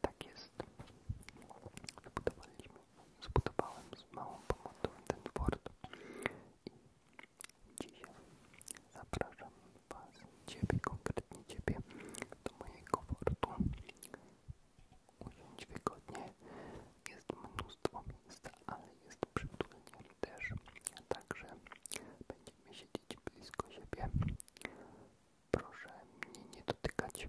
Tak jest. Zbudowaliśmy, zbudowałem z małą pomocą ten fort i dzisiaj zapraszam Was, Ciebie, konkretnie Ciebie, do mojego fortu. Usiądź wygodnie, jest mnóstwo miejsca, ale jest przytulnie też, także będziemy siedzieć blisko siebie. Proszę mnie nie dotykać,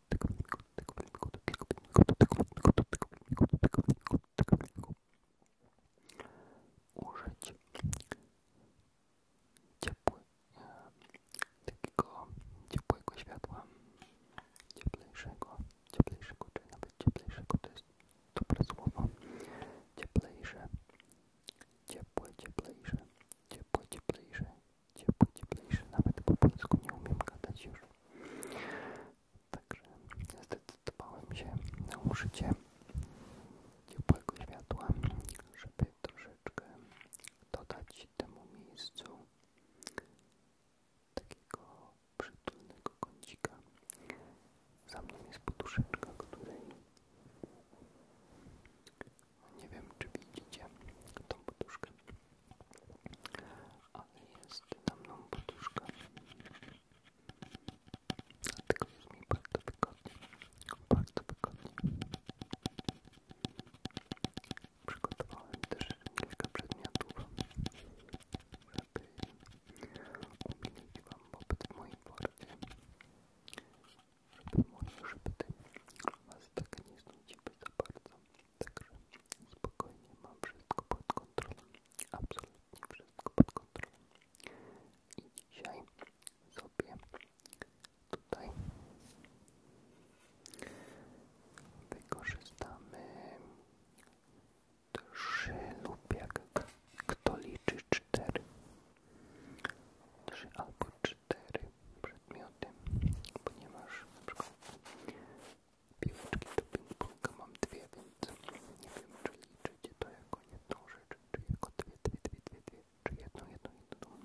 użyć ciepły, e, takiego ciepłego światła, cieplejszego, cieplejszego czy nawet cieplejszego, to jest dobre słowo, cieplejsze, ciepłe, cieplejsze, ciepłe, cieplejsze, ciepły, cieplejszy, nawet po polsku nie umiem gadać już. Także zdecydowałem się na użycie ciepłego światła, żeby troszeczkę dodać temu miejscu takiego przytulnego kącika. Za mną jest poduszeczka, której nie wiem, czy widzicie tą poduszkę ale jest na mną poduszka. Dlatego jest mi bardzo wygodnie, bardzo wygodnie. Przygotowałem też kilka przedmiotów, żeby umilić Wam popyt w moim porcie. Żeby może, żeby ten Was tak nie znudziły za bardzo. Także spokojnie, mam wszystko pod kontrolą. Absolutnie wszystko pod kontrolą. I dzisiaj sobie tutaj wykorzystamy trzy lub kto liczy cztery. Trzy albo cztery przedmioty, ponieważ na przykład piłeczki do pingponga mam dwie, więc nie wiem czy liczycie to jako jedną rzecz, czy jako dwie, dwie, dwie, dwie, dwie czy jedną, jedną, jedną.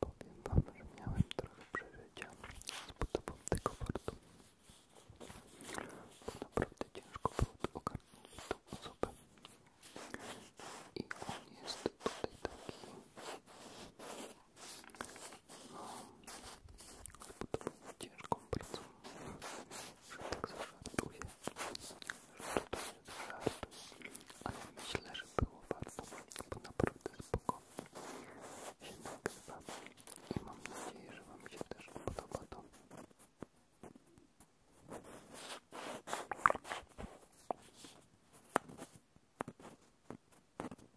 Powiem wam, że miałem trochę przeżycia z budową tego portu. Bo naprawdę ciężko było to ogarnąć tą osobę. I on jest tutaj taki bo to było ciężką pracą, że tak zażartuję, że to jest żart, ale myślę, że było warto, bo naprawdę spoko się nagrywa i mam nadzieję, że Wam się też podoba to.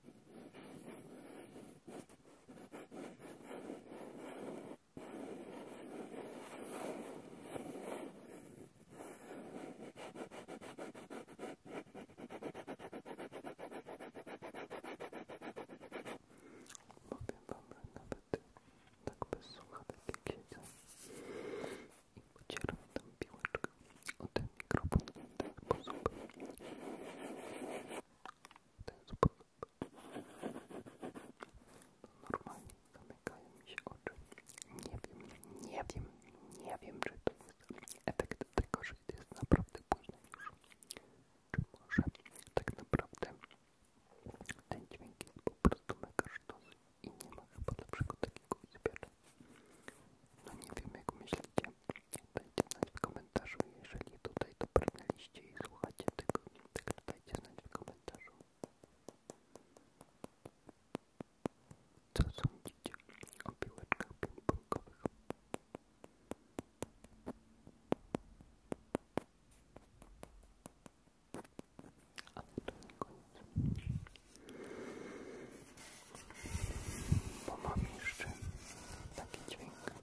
Powiem wam, że nawet tak bez słuchawek jak siedzę i pocieram tam piłeczkę o tak, ten mikrofon, ten sposób ten zupełnie Normalnie zamykają mi się oczy. Nie wiem, nie wiem, nie wiem, czy to jest efekt tego, że jest naprawdę późno Czy może tak naprawdę ten dźwięk jest po prostu mega i nie ma chyba lepszego takiego zbiera. No nie wiem, jak myślicie, Dajcie znać w komentarzu, jeżeli tutaj to brnęliście i słuchacie tego, tak dajcie znać w komentarzu. Co sądzicie o piłeczkach ping-pongowych? Ale to jeszcze taki dźwięk.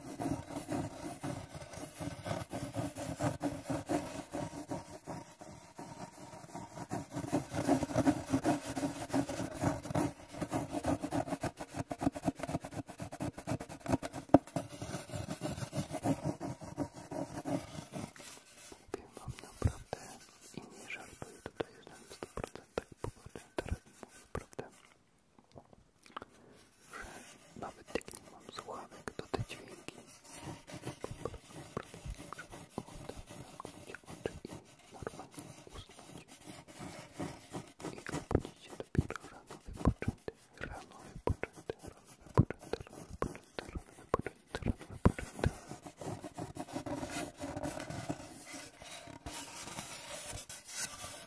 Mówię wam naprawdę i nie żartuję tutaj jestem w 100% poważnie teraz mówię prawdę że nawet jak nie mam słuchawek, to te dźwięki po prostu muszę oddać i normalnie usnąć. I obudzić się dopiero rano wypoczęty, rano wypoczęty, rano wypoczęty, rano wypoczęty, rano wypoczęty, rano wypoczęty.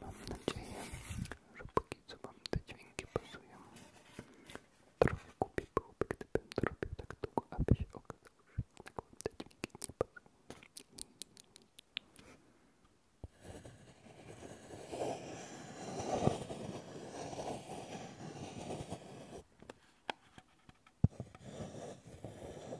Mam nadzieję, że póki co wam te dźwięki pasują. Trochę kupię byłoby, gdybym to robił tak długo, aby się okazało, że jednak wam te dźwięki nie pasują. Dobra,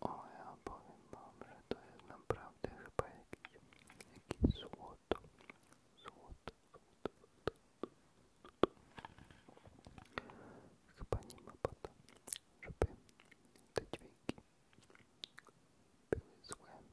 O, ja powiem wam, że to jest naprawdę chyba jakiś, jakiś złoto. Złoto, złoto, złoto, złoto. Chyba nie ma po to, żeby te dźwięki były złe,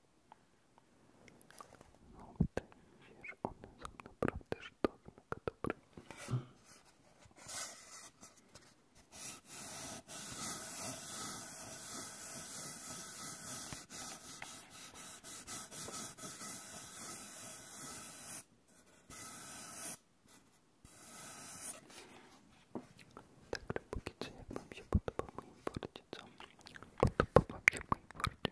No, wydaje tak, mi się, że one są naprawdę sztywne, mega dobre. Także póki się podoba mój porcie, Podobała się mój worcie.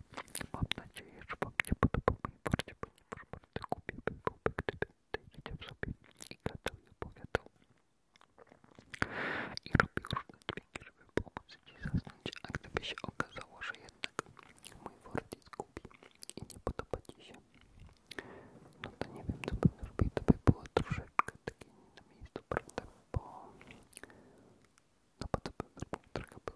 Mam nadzieję, że wam nie podobał mój worcie, ponieważ bardzo głupie by byłby, gdyby tutaj siedział sobie i gadał i opowiadał. I robił różne dźwięki, żeby pomóc ci zasnąć, a gdyby się okazało, że jednak mój worcie zgubi i nie podoba ci się, no to nie wiem, co bym zrobił, to by było troszeczkę takie na miejscu, prawda, bo no bo to bym trochę był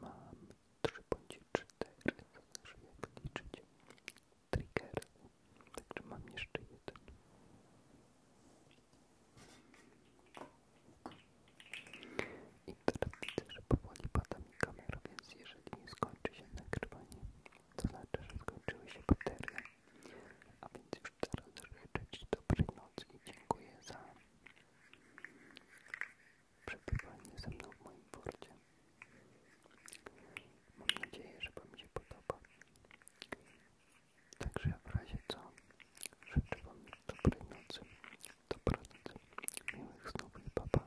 Mam 3 bądź 4, to znaczy jak liczyć triggery, także mam jeszcze jeden. I teraz widzę, że powoli pada mi kamera, więc jeżeli skończy się nagrywanie, to znaczy, że skończyły się baterie a więc już teraz życzę Ci dobrej nocy i dziękuję za przebywanie ze mną w moim porcie. Mam nadzieję, że Wam się podoba. Także w razie co życzę Wam dobrej nocy, dobranocy, miłych snów i papa.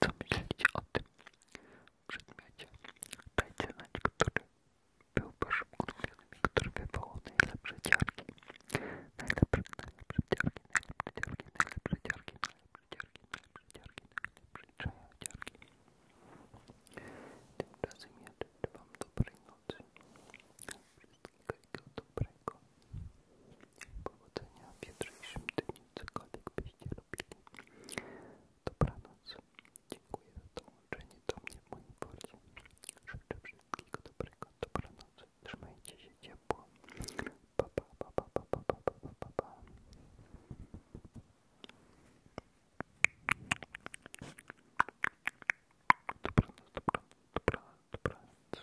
Co myślicie o tym przedmiocie? Dajcie znać, który był waszym ulubionym i który wywołał najlepsze ciarki. Najlepsze, najlepsze ciarki, najlepsze ciarki, najlepsze ciarki, najlepsze ciarki, najlepsze ciarki, najlepsze ciarki. Tymczasem ja życzę wam dobrej nocy. Wszystkiego dobrego. Powodzenia w jutrzejszym dniu, cokolwiek byście robili. Dobranoc. Dziękuję za dołączenie do Życzę wszystkiego dobrego. Dobranoc. Trzymajcie się ciepło. Dobranoc, dobranoc, dobranoc, dobranoc.